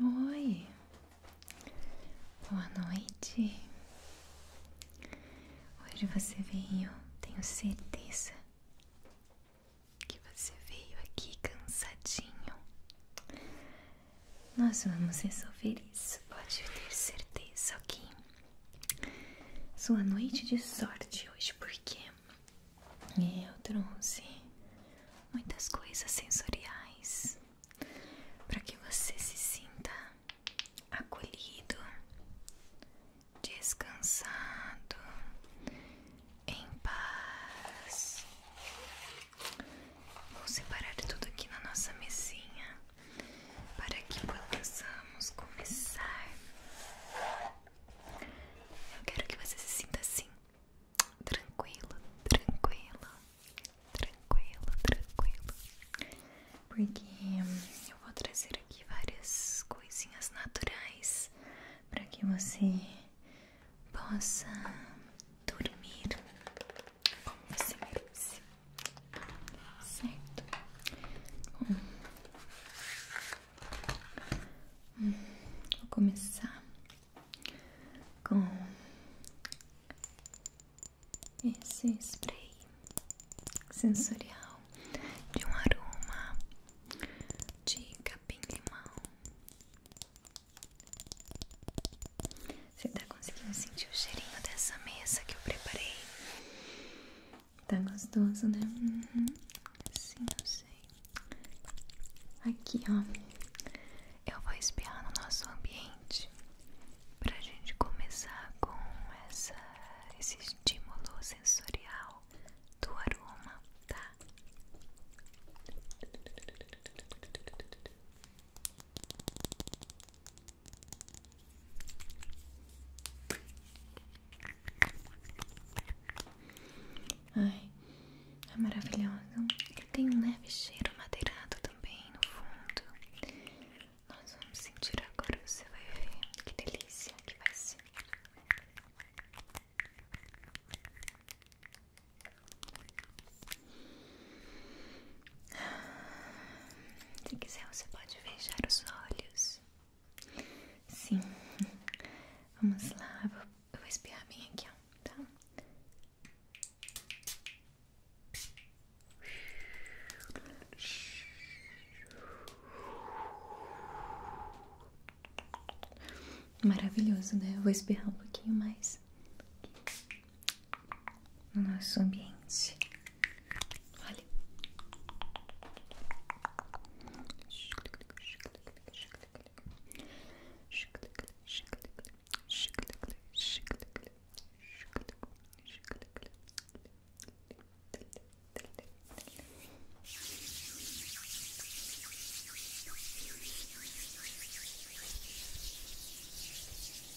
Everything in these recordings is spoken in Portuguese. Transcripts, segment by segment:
Oi, boa noite. Hoje você veio, tenho certeza que você veio aqui cansadinho. Nós vamos resolver isso, pode ter certeza, ok? sua noite de sorte hoje, porque eu trouxe muitas coisas sensoriais para que você se sinta acolhido, descansado, em paz. Vou separar tudo aqui na nossa mesinha para que possamos começar. Eu quero que você se sinta assim, tranquilo, tranquilo, tranquilo, tranquilo, porque eu vou trazer aqui várias coisinhas naturais para que você possa dormir como você merece. Certo. Hum. Vou começar com esse spray sensorial de um aroma de capim-limão. Você tá conseguindo sentir o cheirinho dessa mesa que eu preparei? Tá gostoso, né? Uhum. Sim, eu sei. Aqui, ó. Eu vou espiar no nosso ambiente pra gente começar com essa, esse estímulo sensorial do aroma, tá? Ai, é maravilhosa. Tem um leve cheiro madeirado também no fundo. Nós vamos sentir agora, você vai ver que delícia que vai ser. Se quiser, você pode fechar os olhos. Sim. Vamos lá. Eu vou, espirrar vou espiar bem aqui, ó. Tá? Maravilhoso, né? Eu vou espirrar um pouquinho mais nosso ambiente. Olha. Olha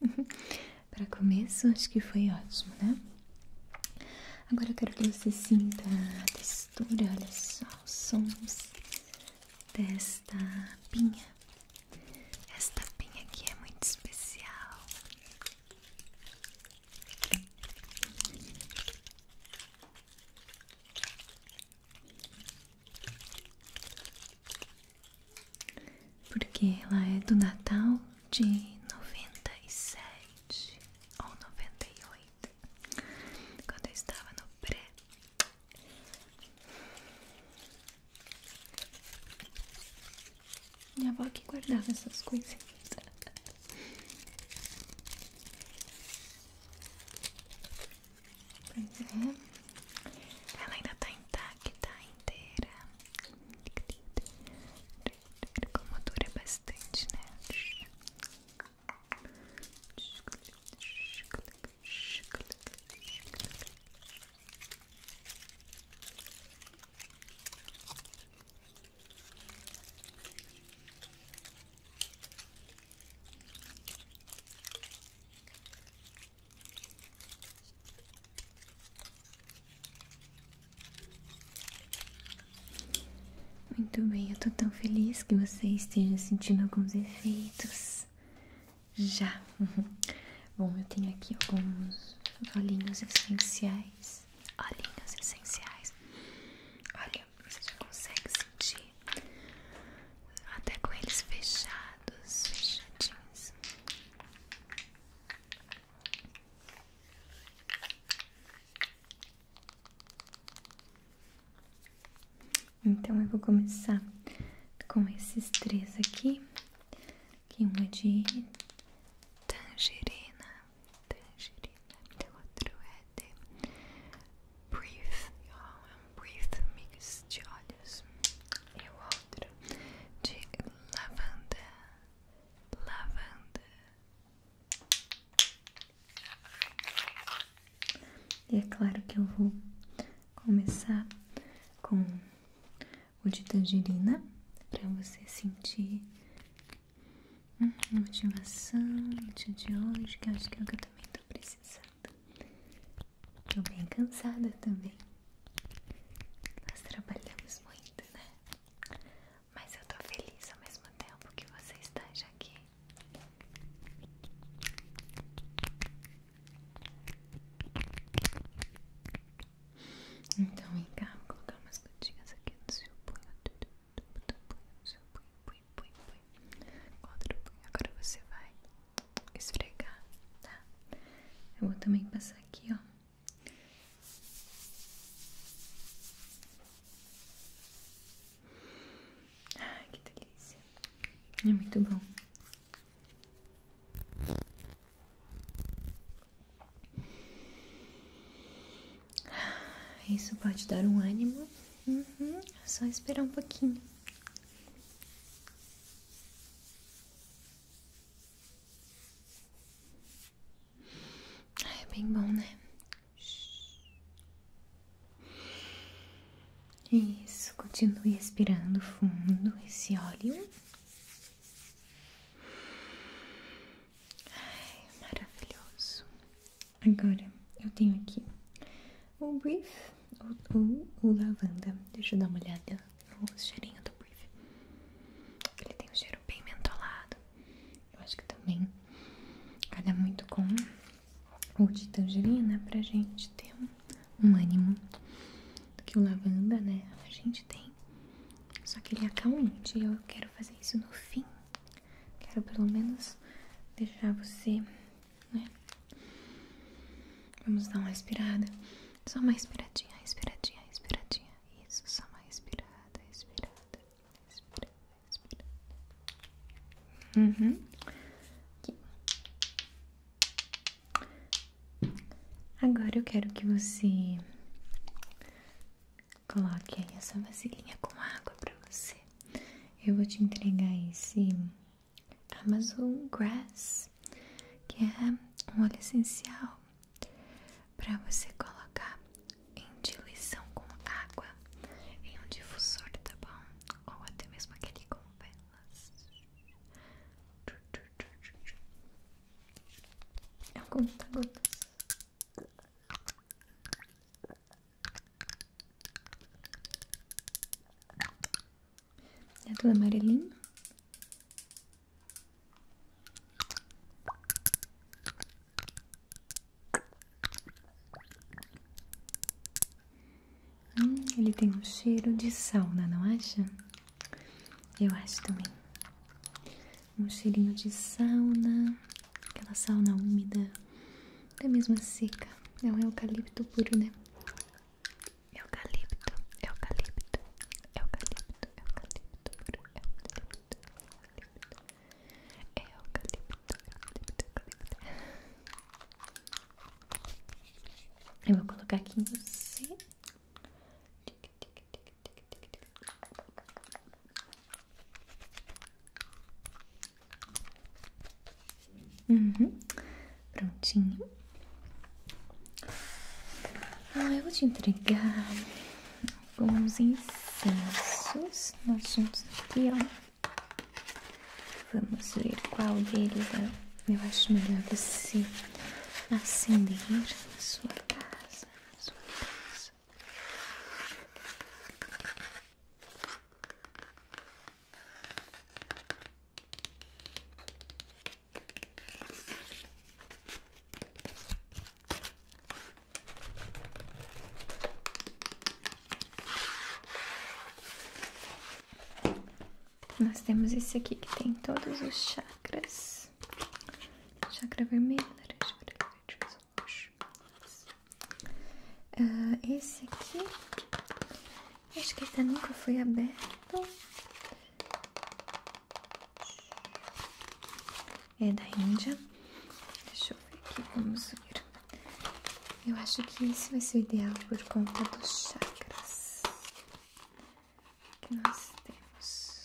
Para começo, acho que foi ótimo, né? Agora eu quero que você sinta a textura, olha só, os sons desta pinha. Esta pinha aqui é muito especial porque ela é do Natal de noventa e sete ou noventa e oito quando eu estava no pré. Minha avó que guardava essas coisas. É. Ela ainda tá intacta, inteira. Como dura bastante, né? Muito bem, eu tô tão feliz que você esteja sentindo alguns efeitos já. Bom, eu tenho aqui alguns olhinhos essenciais. Olhinhos essenciais. Olha, você já consegue sentir até com eles fechados, fechadinhos. Então eu vou começar com esses três aqui, que um de tangerina, tangerina, outro é de Breathe, oh, é um Breathe mix de olhos e o outro de lavanda, lavanda. E é claro que eu vou começar com o de tangerina para você sentir motivação do de hoje, que acho que é o que eu também tô precisando. Tô bem cansada também. Nós trabalhamos muito, né? Mas eu tô feliz ao mesmo tempo que você está aqui. Então vem cá, vou colocar umas gotinhas aqui no seu punho. No seu punho, punho, punho, punho. Contra o punho. Agora você vai esfregar, tá? Eu vou também passar aqui, ó. Ai, que delícia. É muito bom. Isso pode dar um ânimo. Uhum, é só esperar um pouquinho. Ah, é bem bom, né? Isso, continue respirando fundo esse óleo. Ai, maravilhoso. Agora eu tenho aqui o Brief ou o Lavanda. Deixa eu dar uma olhada no cheirinho do Brief. Ele tem um cheiro bem mentolado. Eu acho que também calha muito com o de tangerina pra gente ter um, ânimo do Que o lavanda, né? A gente tem. Só que ele é calmante e eu quero fazer isso no fim. Quero pelo menos deixar você né? Vamos dar uma inspirada, Só uma respiradinha, respiradinha, respiradinha. Isso, só uma inspirada, inspirada, respirada, inspirada. Uhum. Aqui. Agora eu quero que você coloque aí essa vasilhinha com água pra você. Eu vou te entregar esse Amazon tá, Grass, que é um óleo essencial para você colocar em diluição com água em um difusor, tá bom? Ou até mesmo aquele com velas. É um conta é tudo amarelinho. Hum, ele tem um cheiro de sauna, não acha? Eu acho também. Um cheirinho de sauna, aquela sauna úmida da mesma seca. É um eucalipto puro, né? Eucalipto, eucalipto, eucalipto, eucalipto puro, eucalipto, eucalipto, eucalipto, eucalipto, eucalipto. Eu vou colocar aqui em você. Uhum. Prontinho. Ah, eu vou te entregar alguns incensos. Nós temos aqui, ó. Vamos ver qual deles é. eu acho melhor você acender na sua casa. Nós temos esse aqui que tem todos os chakras: chakra vermelho, laranja, verde, ah, esse aqui, acho que até tá nunca foi aberto. É da Índia. Deixa eu ver aqui, vamos ver Eu acho que esse vai ser o ideal por conta dos chakras que nós temos.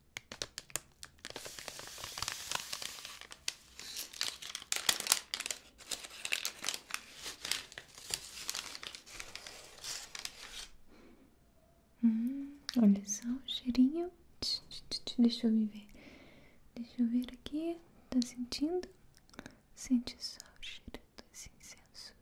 Hum, olha só o cheirinho. Deixa eu me ver. Deixa eu ver aqui. Tá sentindo? Sente só o cheiro dos incensos.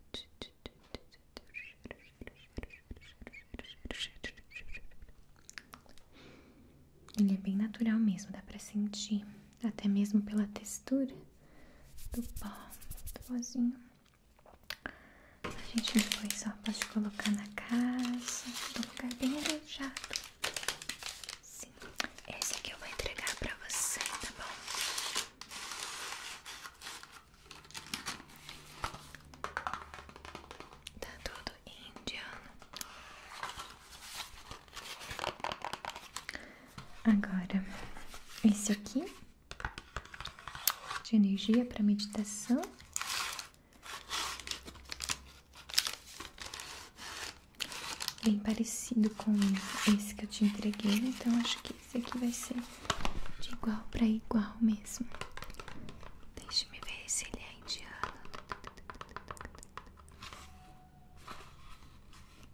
Ele é bem natural mesmo, dá pra sentir, até mesmo pela textura do pó, do pozinho. A gente depois só pode colocar na casa, no lugar bem arejado. Sim, esse aqui eu vou entregar pra você, tá bom? Tá tudo indiano. Agora, esse aqui de energia para meditação. Bem parecido com esse que eu te entreguei, então acho que esse aqui vai ser de igual para igual mesmo. Deixe-me ver se ele é indiano.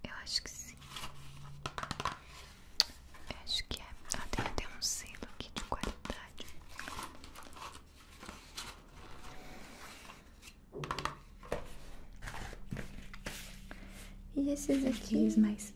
Eu acho que sim. Eu acho que é. Ah, tem ter um selo aqui de qualidade. E esses aqui? os mais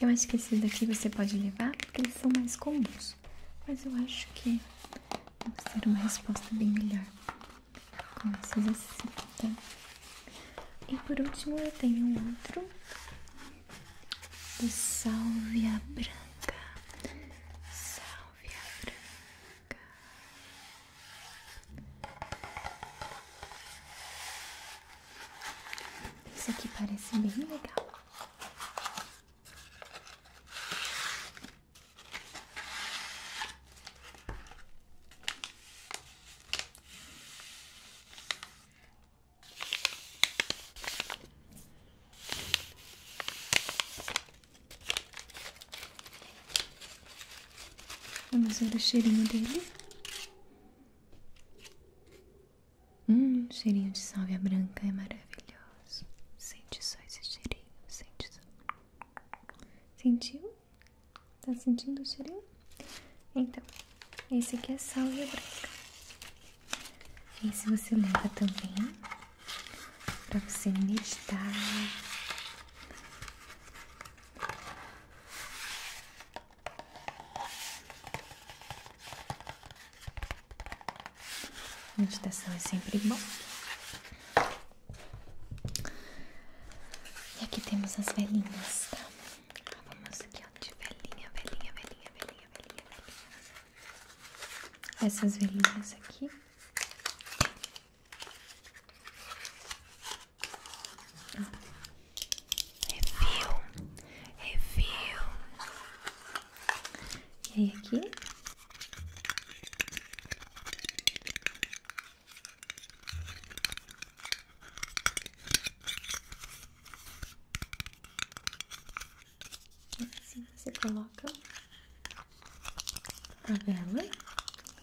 Eu acho que esse daqui você pode levar porque eles são mais comuns, mas eu acho que vamos ter uma resposta bem melhor com esses assim, também. Tá? E por último eu tenho outro do Sálvia Branca. Sálvia Branca. Isso aqui parece bem legal. Vamos ver o cheirinho dele. Hum, cheirinho de salvia branca é maravilhoso. Sente só esse cheirinho, sente só. Sentiu? Tá sentindo o cheirinho? Então, esse aqui é salvia branca. E se você leva também para você meditar. Meditação é sempre bom. E aqui temos as velhinhas, tá? Vamos aqui, ó, de velhinha, velhinha, velhinha, velhinha, velhinha essas velhinhas aqui. Review, review. E aí aqui. Assim você coloca a vela,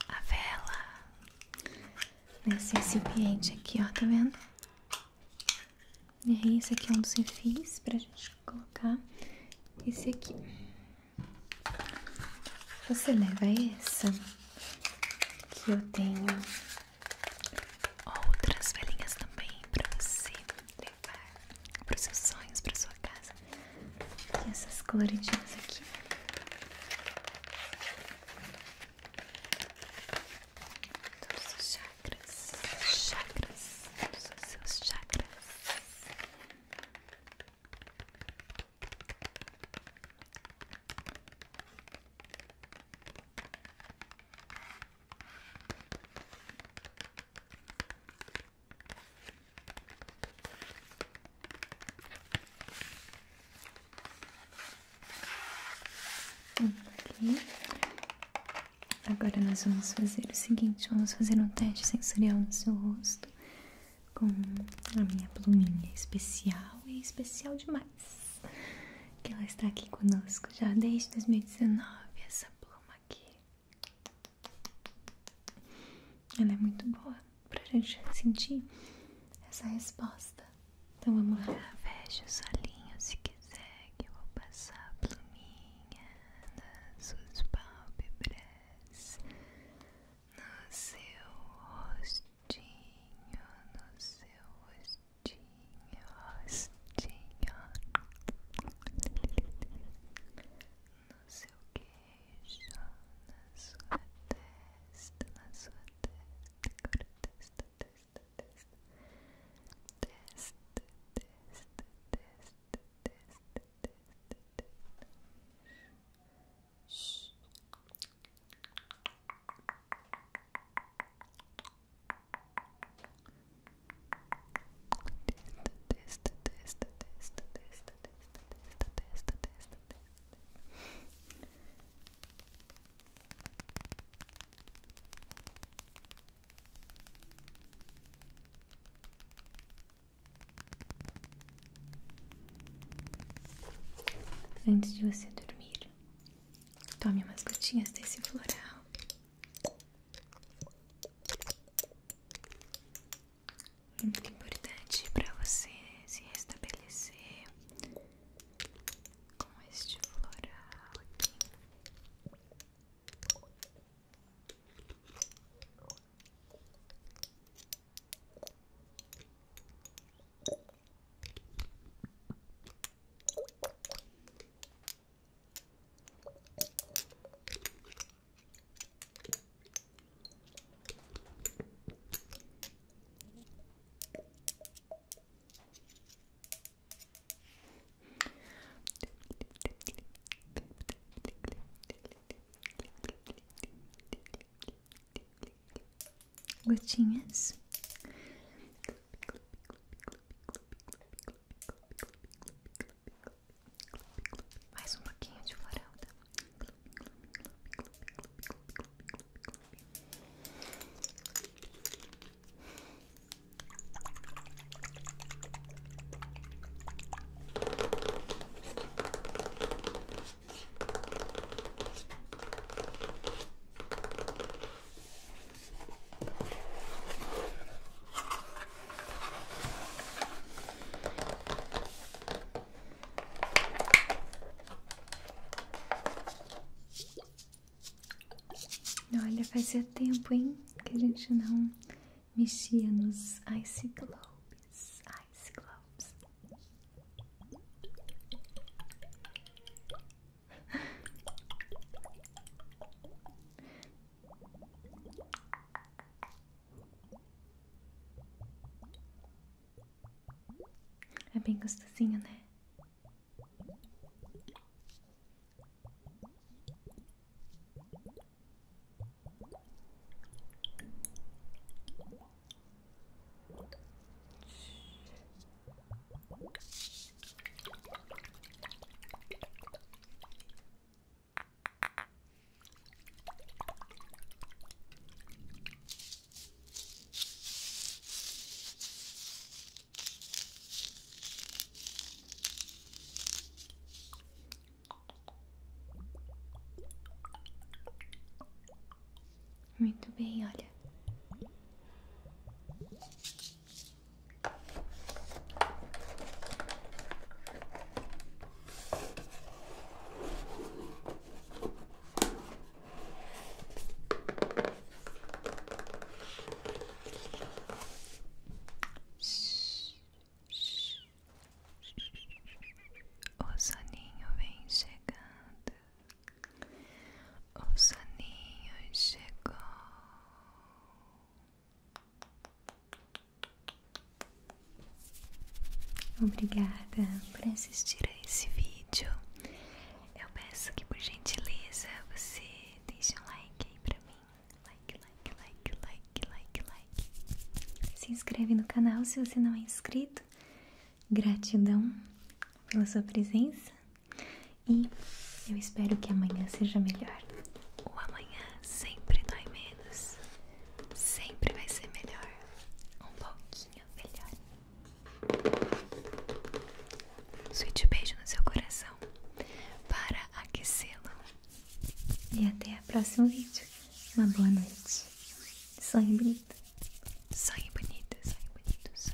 a vela nesse recipiente aqui, ó, tá vendo? E esse aqui é um dos refis pra gente colocar esse aqui. Você leva essa que eu tenho outras velinhas também pra você levar para os seus sonhos, para sua casa. E essas coloridinhas aqui. Todos os chakras, chakras, todos os seus chakras. Agora nós vamos fazer o seguinte, vamos fazer um teste sensorial no seu rosto com a minha pluminha especial e especial demais. Que ela está aqui conosco já desde 2019, essa pluma aqui. Ela é muito boa pra gente sentir essa resposta. Então vamos lá. Ah, fecha os olhinhos se quiser, que eu vou passar a pluminha nas suas pálpebras, no seu rostinho, no seu rostinho tinha no seu queixo, na sua testa, na sua testa, agora testa, testa, testa, testa, testa, testa, testa, testa, testa. Testa, testa, testa, testa, testa, testa, testa, testa, testa. Antes de você dormir, tome umas gotinhas desse floral é importante para você se restabelecer com este floral aqui. Gotinhas. Clube, clube, clube, clube, clube, clube, clube, mais um pouquinho de floralda. Tá? Olha, fazia tempo, hein? Que a gente não mexia nos Ice Globes. É bem gostosinho, né? Muito bem, olha. O soninho vem chegando. O soninho chegou. Obrigada por assistir a esse vídeo. Eu peço que por gentileza você deixe um like aí pra mim. Like, like, like, like, like, like. Se inscreve no canal se você não é inscrito. Gratidão pela sua presença e eu espero que amanhã seja melhor. O amanhã sempre dói menos. Sempre vai ser melhor. Um pouquinho melhor. Sweet beijo no seu coração para aquecê-lo. E até o próximo vídeo. Uma boa noite. Sonhe bonito. Sonhe bonito, sonhe bonito.